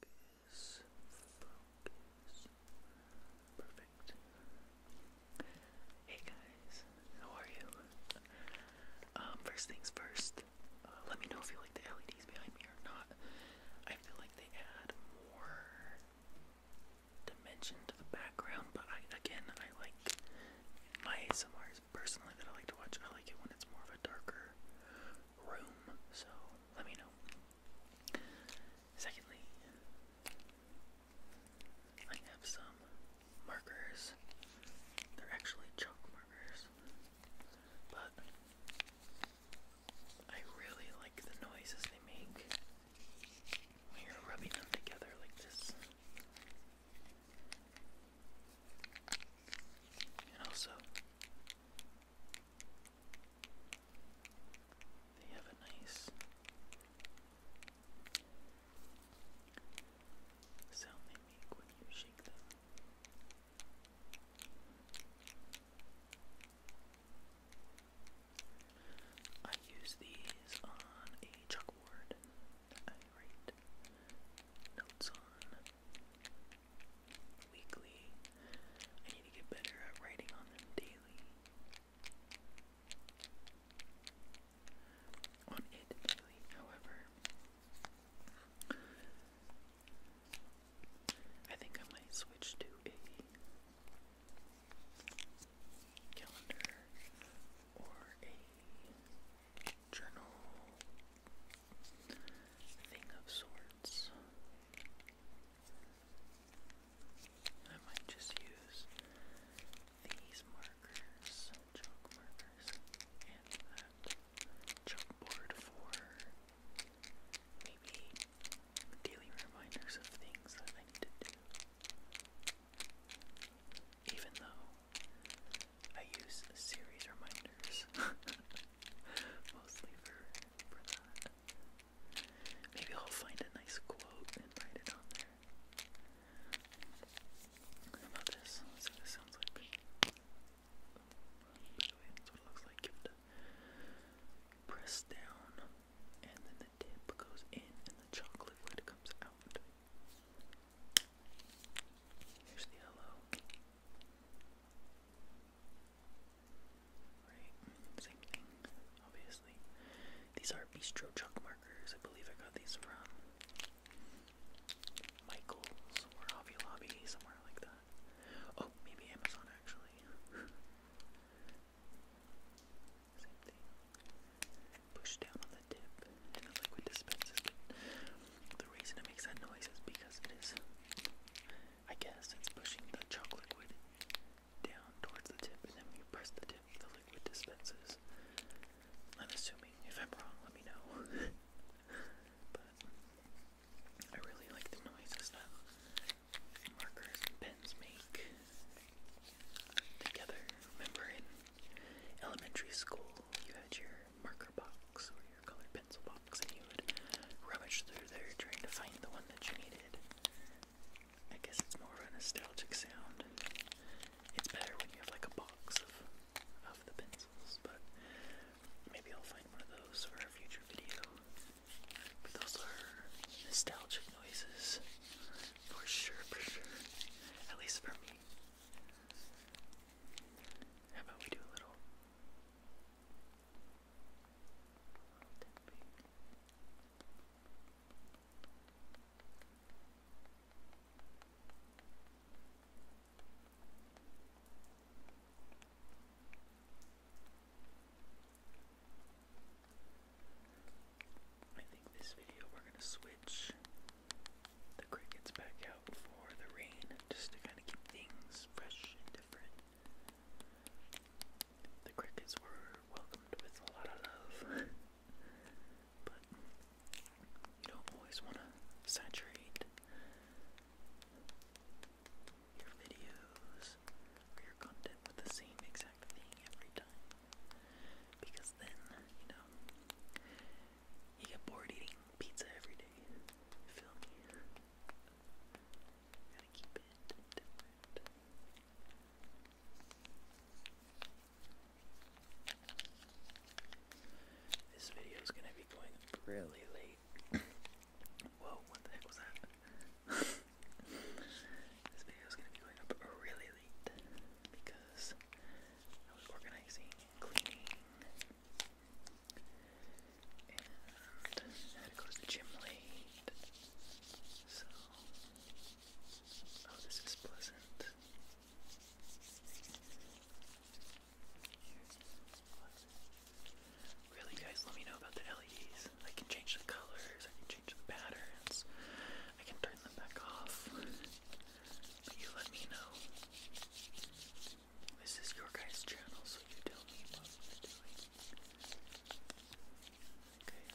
Focus, focus. Perfect. Hey guys, how are you? Um, first things first, uh, let me know if you like the LEDs behind me or not. I feel like they add more dimension to the background, but I, again, I like my ASMR personally that I like to watch. I like it when it's more of a darker room, so let me know. Secondly, I have some markers. They're actually chalk markers, but I really like the noises they make when you're rubbing them together like this. And also, they have a nice sound they make when you shake them. I use these on a chalkboard that write notes on weekly. I need to get better at writing on them daily. On it daily, however. I think I might switch to a calendar or a journal thing of sorts. I might just use these markers, chalk markers, and that chalkboard for maybe daily reminders of things that I need to do. Even though I use series reminders mostly for for that. Maybe I'll find a nice quote and write it on there. about this? let this sounds like. By the way, that's what it looks like. You have to press down, and then the tip goes in, and the chocolate lid comes out. Here's the hello. Right, same obviously. These are bistro chalk markers. I believe I got these from Michael's or Hobby Lobby, somewhere like that. Oh, maybe Amazon actually. same thing. Push down on the dip the liquid dispenses. The reason it makes that noise is because it is, I guess, it's pushing the chalk liquid down towards the tip, and then when you press the tip, the liquid dispenses. I'm assuming. If I'm wrong, let me know. but I really like the noises that markers and pens make together. Remember in elementary school you had your marker box or your colored pencil box, and you would rummage through there trying to find the one that you needed. I guess it's more of a nostalgic sound. It's better when you have like a box of of the pencils, but maybe I'll find one of those for a future video. But those are nostalgic noises. For sure, for sure. At least for me. How about we do a little I think this video we're going to switch the crickets back out for the rain just to kind of keep things fresh and different. The crickets were welcomed with a lot of love, but you don't always want to saturate your videos or your content with the same exact thing every time because then, you know, you get bored eating pizza every day. feel me? Gotta keep it different. This video is gonna be going really late. Whoa, what the heck was that? this video is gonna be going up really late because I was organizing cleaning. And had to go to the gym late. So, oh, this is pleasant. Really, guys, let me know about the LEDs. I can change the colors, I can change the patterns, I can turn them back off you let me know. This is your guys' channel, so you tell me what we're doing. Okay.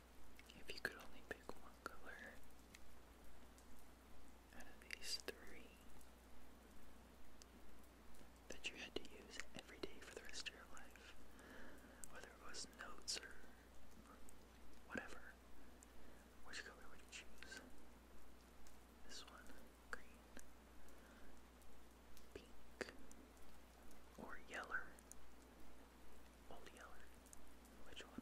If you could only pick one color out of these three that you had to use every day for the rest of your life, whether it was notes or, whatever, which color would you choose? This one, green, pink, or yeller, old yeller. Which one?